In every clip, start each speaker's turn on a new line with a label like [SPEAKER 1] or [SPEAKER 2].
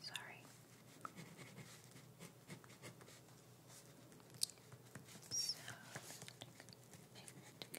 [SPEAKER 1] Sorry. So and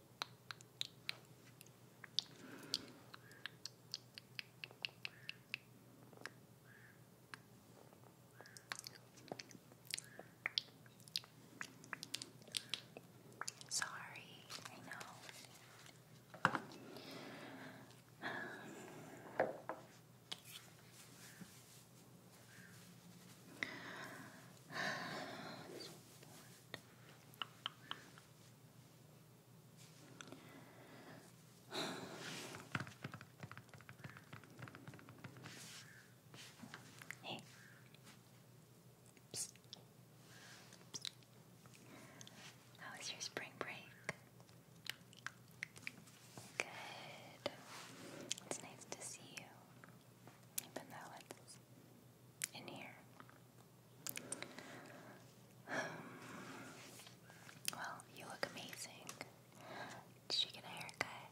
[SPEAKER 1] Sorry, I know. Um, so Hey. How was your spring break? Good. It's nice to see you even though it's in here. Um, well, you look amazing. Did you get a haircut?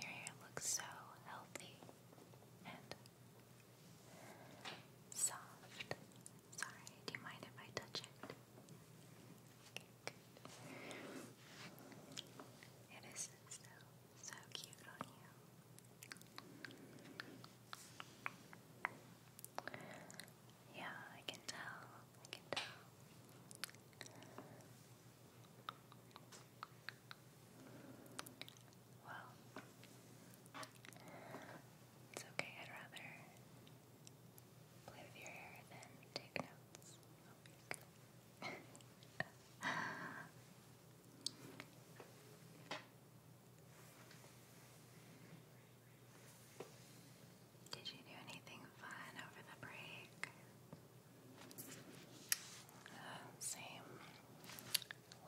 [SPEAKER 1] Your hair looks so healthy and soft. Sorry, do you mind if I touch it? It is so, so cute on you. Yeah, I can tell. I can tell. Well, it's okay. I'd rather play with your hair than take notes week. Did you do anything fun over the break? Uh, same.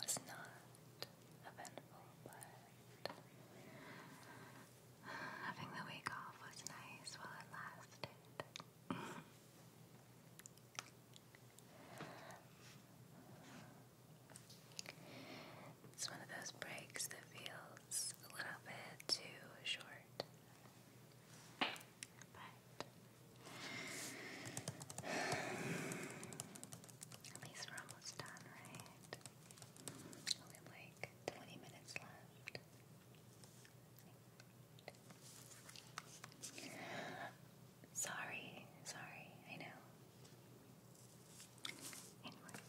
[SPEAKER 1] Was not eventful, but Having the week off was nice while it lasted. It's one of those breaks that feels a little bit too short. But at least we're almost done, right? Only like 20 minutes left. Sorry, sorry, I know. Anyway.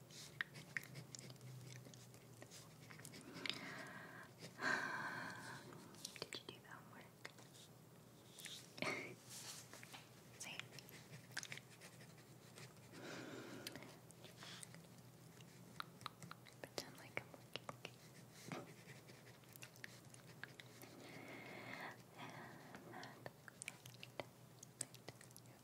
[SPEAKER 1] Did you do the homework? See? Pretend like I'm looking. and that. Right. Right.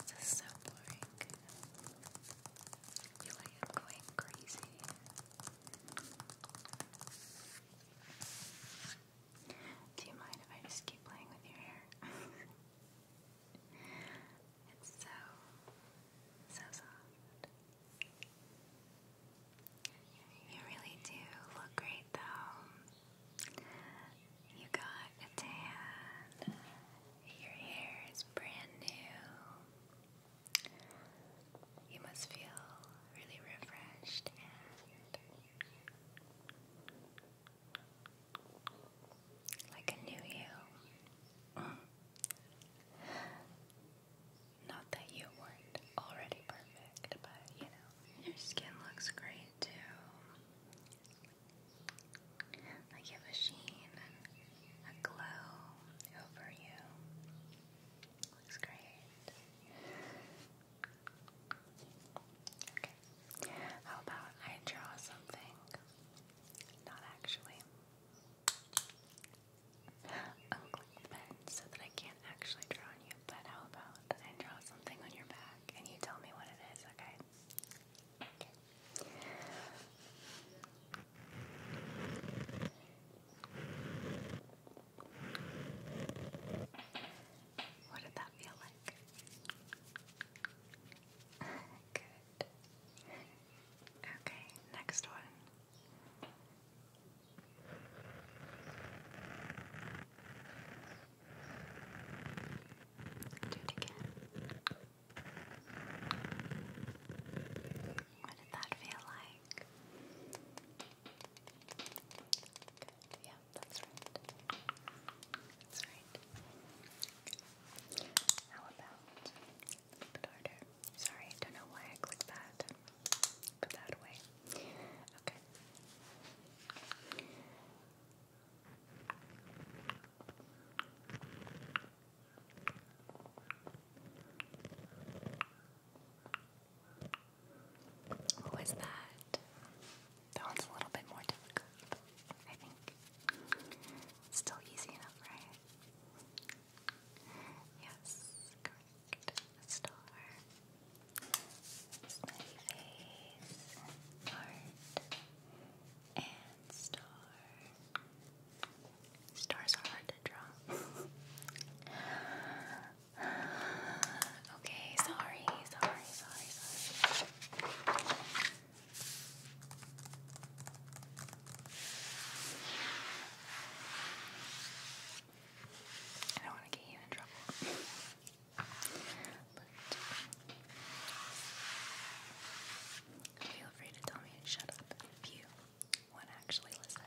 [SPEAKER 1] This is so boring. I feel like I'm going crazy. Do you mind if I just keep playing with your hair? it's so, so soft. You really do look great though. You got a tan. Your hair is brand new. You must feel really refreshed and like a new you. Not that you weren't already perfect, but you know, your skin looks great too. Like you have a sheen a glow over you. Looks great. Okay. How about I draw something? Not actually. Uncle so that I can't actually draw on you, but how about I draw something on your back and you tell me what it is, Okay. What did that feel like? Good. Okay, next one. Do it again. What did that feel like? Good. Yeah, that's right. That's right. How about a bit harder? Sorry, I don't know why I clicked that. Put that away. Okay. What was that? That one's a little bit more difficult, I think. still easy enough, right? Yes, correct. star. Smiley face, heart, and star. Stars are hard to draw. okay, sorry, sorry, sorry, sorry. I don't want to get you in trouble. feel free to tell me to shut up if you want to actually listen.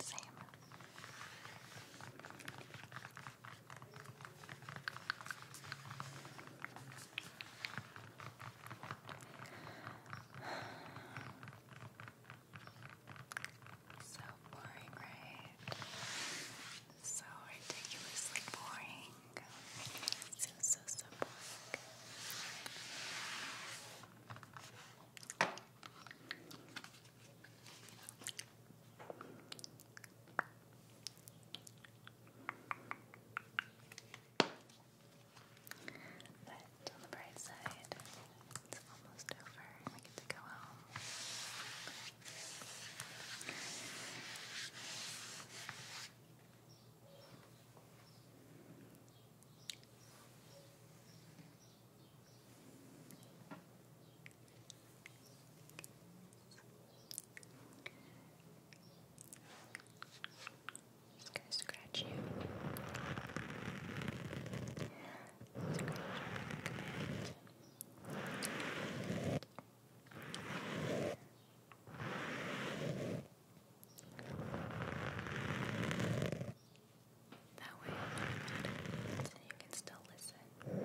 [SPEAKER 1] Same. So boring, right? So ridiculously boring. So, so, so boring. But on the bright side, it's almost over and we get to go home. Just gonna scratch you. Scratch your that way, I'm not mad at you, and you can still listen.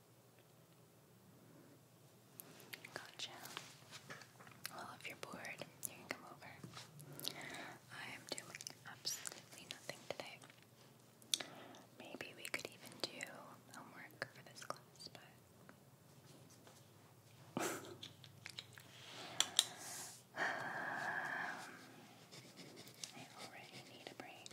[SPEAKER 1] Gotcha. Well, if you're bored, you can come over. I am doing absolutely nothing today. Maybe we could even do homework for this class, but. I already need a break,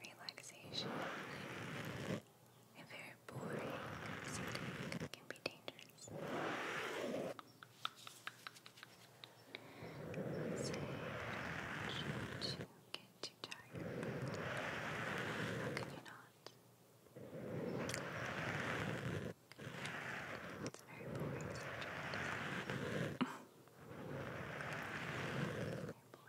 [SPEAKER 1] relaxation. A very boring setting can be dangerous. Let's say get too tired, how can you not? It's very boring.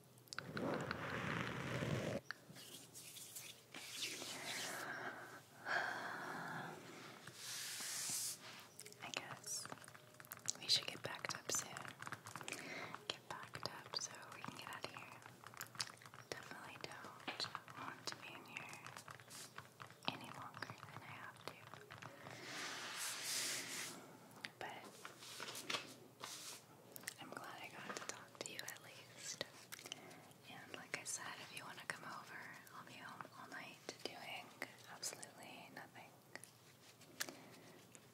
[SPEAKER 1] I guess we should get backed up soon. Get backed up so we can get out of here. Definitely don't want to be in here any longer than I have to. But I'm glad I got to talk to you at least. And like I said, if you want to come over, I'll be home all night doing absolutely nothing.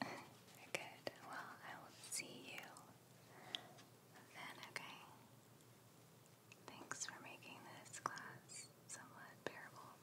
[SPEAKER 1] Good. Well, I will see you then, okay? Thanks for making this class somewhat bearable.